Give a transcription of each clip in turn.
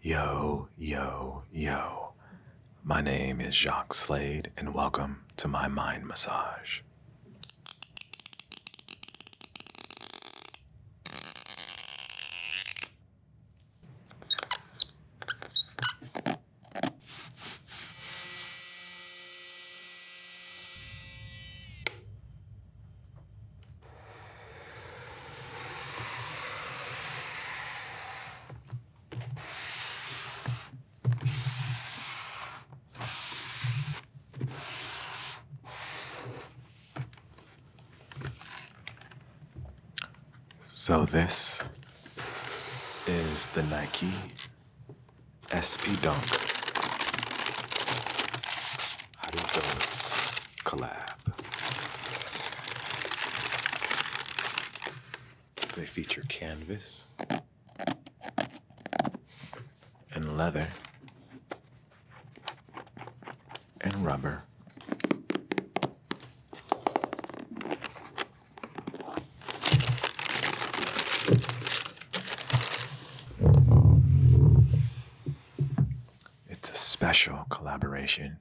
Yo, yo, yo. My name is Jacques Slade, and welcome to my mind massage. So this is the Nike SP Dunk. How do you this collab? They feature canvas and leather and rubber it's a special collaboration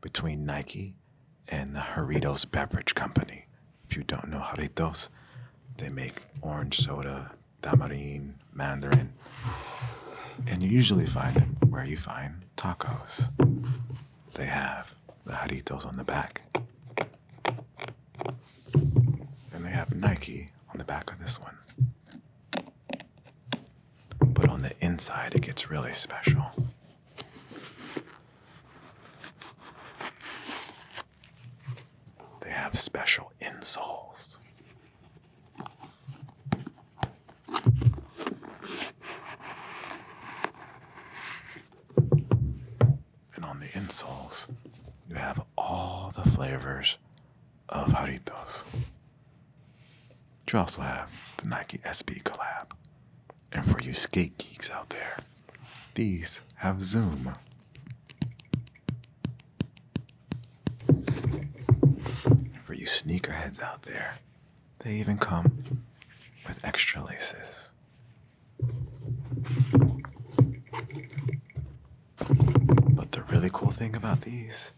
between Nike and the Haritos Beverage Company. If you don't know Haritos, they make orange soda, tamarind, mandarin. And you usually find them where you find tacos. They have the Jarritos on the back. And they have Nike on the back of this one. But on the inside, it gets really special. They have special insoles. And on the insoles, you have all the flavors of Jaritos. You also have the Nike SB collab. And for you skate geeks out there, these have Zoom. for you sneakerheads out there, they even come with extra laces. But the really cool thing about these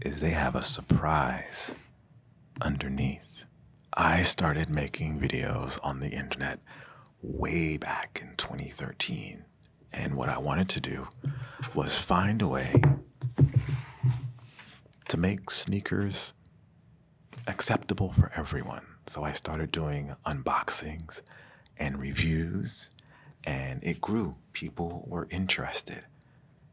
is they have a surprise underneath. I started making videos on the internet way back in 2013. And what I wanted to do was find a way to make sneakers acceptable for everyone. So I started doing unboxings and reviews, and it grew. People were interested.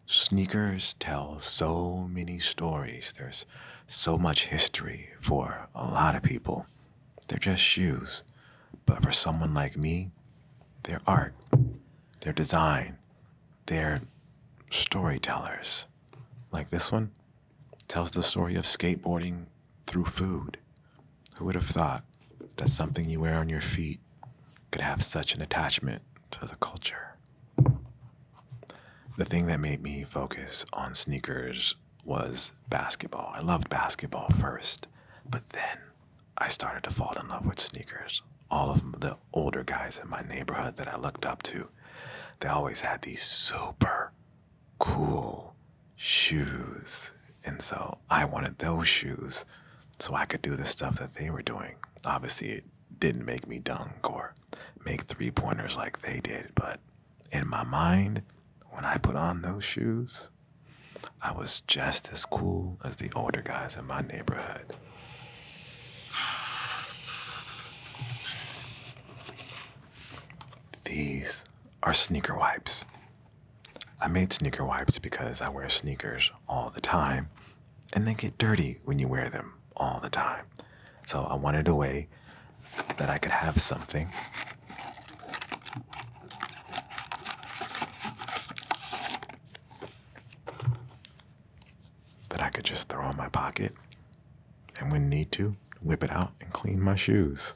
Sneakers tell so many stories. There's so much history for a lot of people. They're just shoes. But for someone like me, they're art, they're design, they're storytellers. Like this one, tells the story of skateboarding through food. Who would have thought that something you wear on your feet could have such an attachment to the culture? The thing that made me focus on sneakers was basketball. I loved basketball first, but then I started to fall in love with sneakers. All of the older guys in my neighborhood that I looked up to, they always had these super cool shoes. And so I wanted those shoes so I could do the stuff that they were doing. Obviously, it didn't make me dunk or make three pointers like they did, but in my mind, when I put on those shoes, I was just as cool as the older guys in my neighborhood. These are sneaker wipes. I made sneaker wipes because I wear sneakers all the time and they get dirty when you wear them all the time. So I wanted a way that I could have something that I could just throw in my pocket and when need to, whip it out and clean my shoes.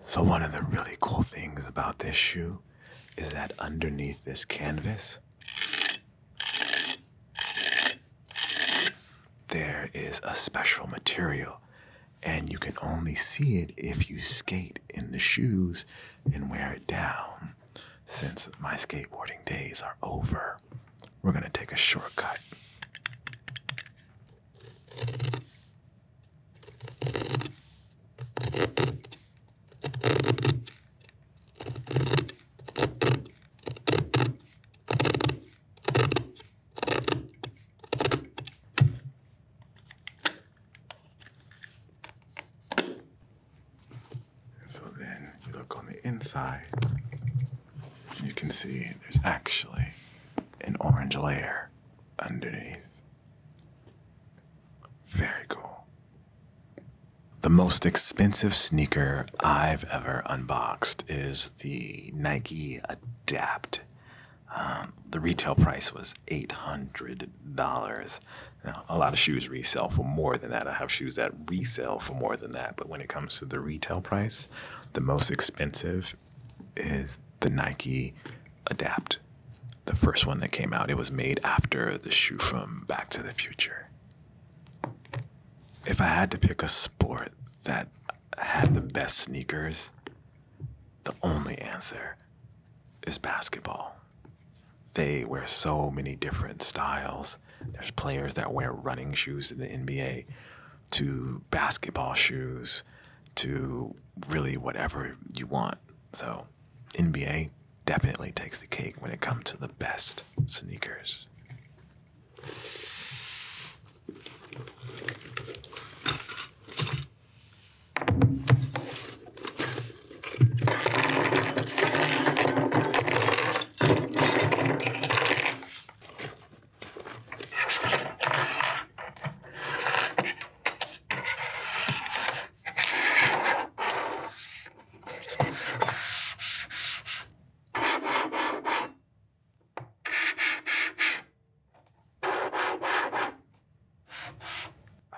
So one of the really cool things about this shoe is that underneath this canvas, there is a special material and you can only see it if you skate in the shoes and wear it down since my skateboarding days are over. We're going to take a shortcut. And so then you look on the inside, and you can see there's actually an orange layer underneath. Very cool. The most expensive sneaker I've ever unboxed is the Nike Adapt. Um, the retail price was $800. Now, a lot of shoes resell for more than that. I have shoes that that resell for more than that. But when it comes to the retail price, the most expensive is the Nike Adapt, the first one that came out. It was made after the shoe from Back to the Future. If I had to pick a sport that had the best sneakers, the only answer is basketball. They wear so many different styles there's players that wear running shoes in the NBA to basketball shoes to really whatever you want. So, NBA definitely takes the cake when it comes to the best sneakers. I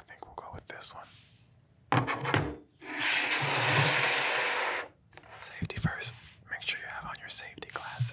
think we'll go with this one. Safety first. Make sure you have on your safety glasses.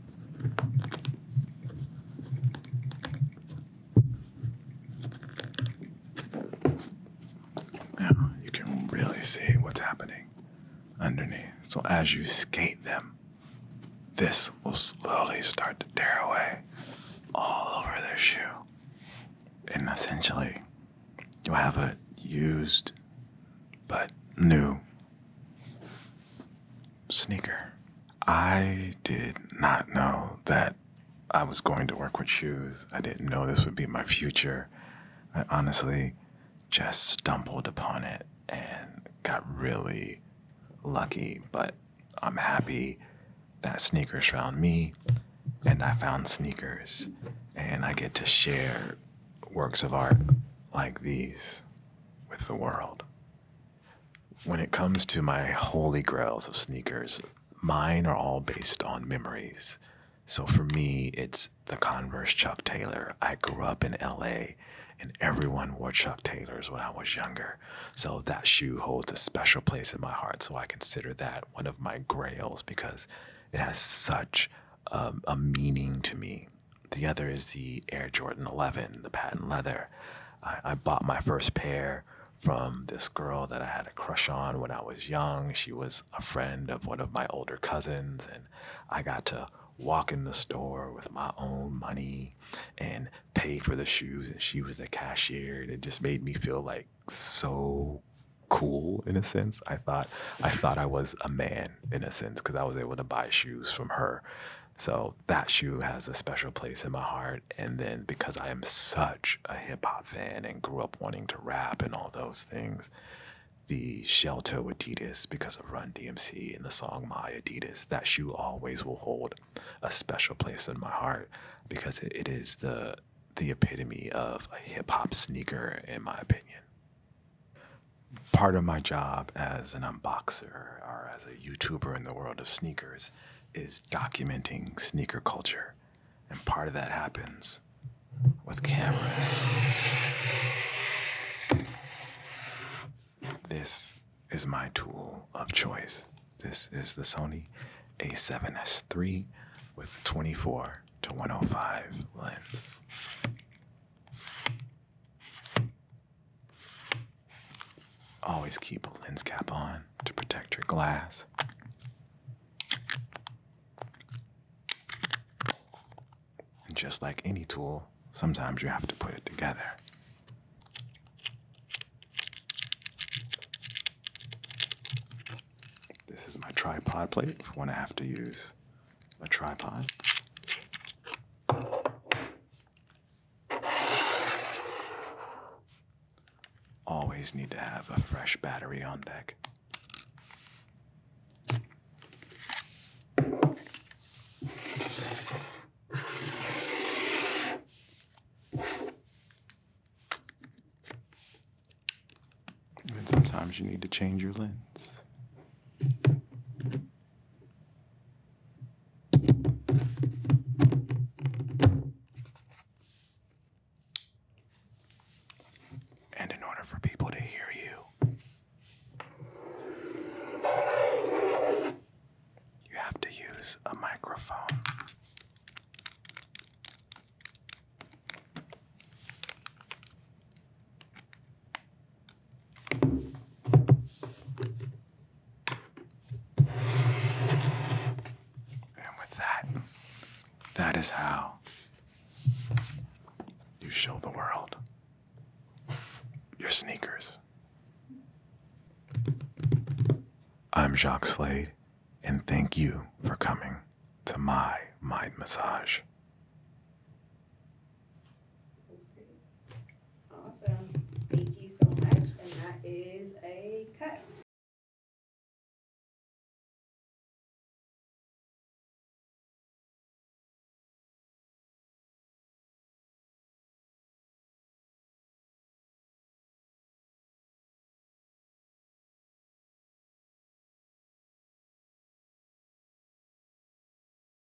Now you can really see what's happening underneath. So as you skate them, this will slowly start to tear away all over their shoe. And essentially, you have a used but new Sneaker. I did not know that I was going to work with shoes. I didn't know this would be my future. I honestly just stumbled upon it and got really lucky, but I'm happy that sneakers found me and I found sneakers and I get to share works of art like these with the world. When it comes to my holy grails of sneakers, mine are all based on memories. So for me, it's the Converse Chuck Taylor. I grew up in LA and everyone wore Chuck Taylors when I was younger. So that shoe holds a special place in my heart. So I consider that one of my grails because it has such um, a meaning to me. The other is the Air Jordan 11, the patent leather. I, bought my first pair from this girl that I had a crush on when I was young. She was a friend of one of my older cousins, and I got to walk in the store with my own money and pay for the shoes and she was a cashier and it just made me feel like so cool in a sense i thought i thought i was a man in, a sense, because I was able to buy shoes from her. So that shoe has a special place in my heart. And then because I am such a hip hop fan and grew up wanting to rap and all those things, the shelter with Adidas because of Run DMC and the song My Adidas, that shoe always will hold a special place in my heart because it is the the epitome of a hip hop sneaker in my opinion. Part of my job as an unboxer or as a YouTuber in the world of sneakers is documenting sneaker culture. And part of that happens with cameras. This is my tool of choice. This is the Sony a7S III with 24 to 105 lens. Always keep a lens cap on to protect your glass. And just like any tool, sometimes you have to put it together. This is my tripod plate when I have to use a tripod. Always need to have a fresh battery on deck. And sometimes you need to change your lens. And in order for people to hear you, you have to use a microphone. And with that, that is how you show the world your sneakers. I'm Jacques Slade, and thank you for coming to my mind massage. Awesome. Thank you so much. And that is a cut.